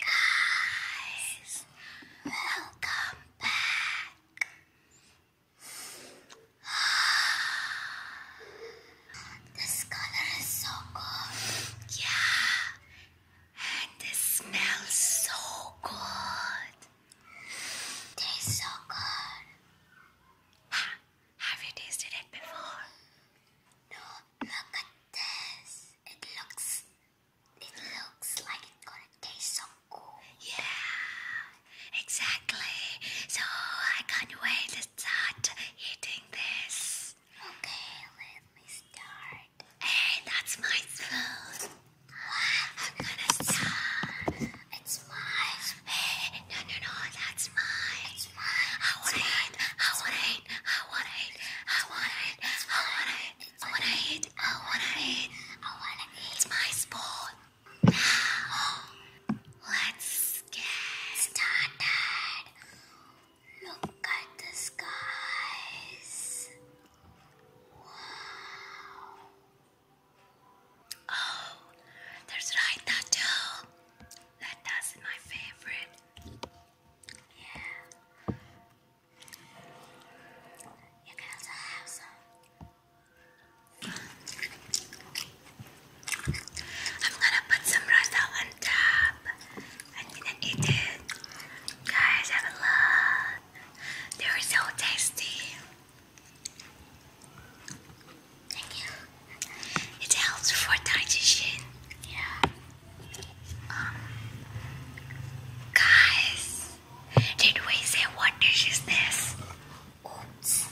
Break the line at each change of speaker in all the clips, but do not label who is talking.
guys, welcome back. This color is so good. Yeah, and it smells so good. Tastes so good. have you tasted it before? No, look at this. It looks it looks like it's gonna taste so cool. Yeah, exactly. So I can't wait to start eating this. Okay, let me start. Hey, that's my spoon. I'm gonna start. It's mine. no, no, no, that's mine. It's mine. I wanna eat. I wanna it, I want it, I want it, I want it, I want it, I want it, I want it. It's my sport. Oh, let's get started. Look at the skies. Oh, there's right tattoo. That that's my favorite. Yeah. I'm gonna put some rasa on top. I'm gonna eat it. Guys, have a They are so tasty. Thank you. It helps for digestion. Yeah. Um, guys, did we say what dish is this? Oops.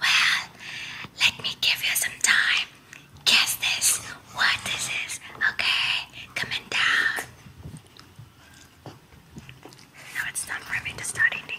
Well, let me give you some time. Guess this, what this is, okay? Comment down. Now it's time for me to start eating.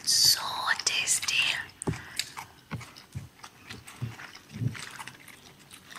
It's so tasty.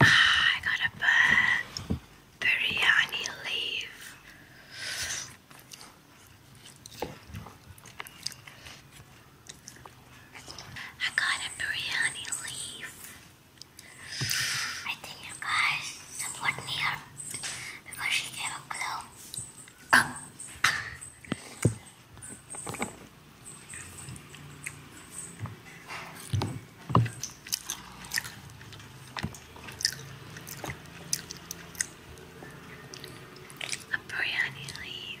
Ah, I got a biryani leaf. I got a biryani leaf. I think you guys support me up because she gave a glow. Um. A leaf.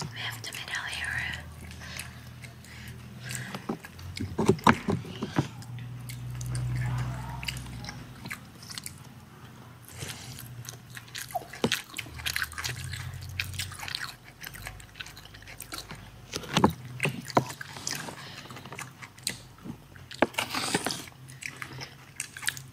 We have the middle here.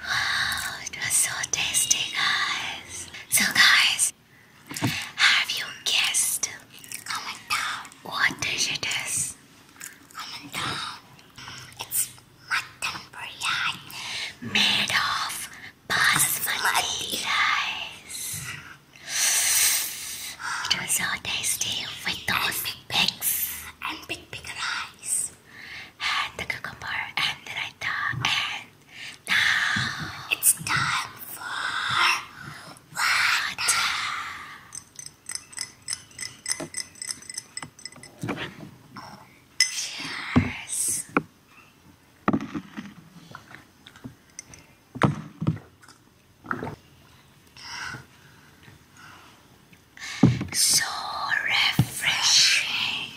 Wow, oh, it was so tasty, guys. So, guys, have you guessed? Comment down. What dish it is? Comment down. It's mutton biryani made of basmati rice. It was so tasty with those big pigs and big big rice and the cucumber and the raita and now it's time for water. Cheers. So refreshing.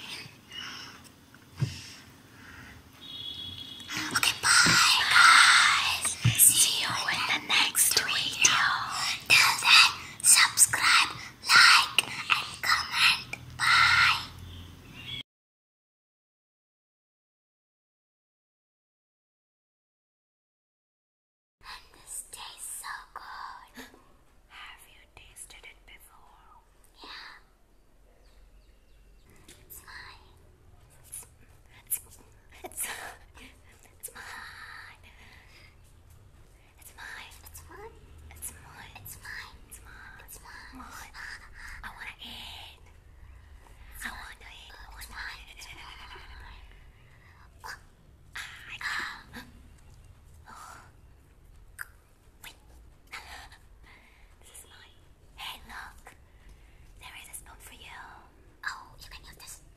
Okay, bye, guys. See you in the next video. Till then subscribe, like and comment. Bye. And this tastes so good. Have you tasted it before? Yeah. It's it's it's mine. It's mine. It's mine. It's mine. It's mine. It's mine. It's mine. mine. I want I wanna in. I wanna in. It's mine. Hey, look. There is a spoon for you. Oh, you can use this.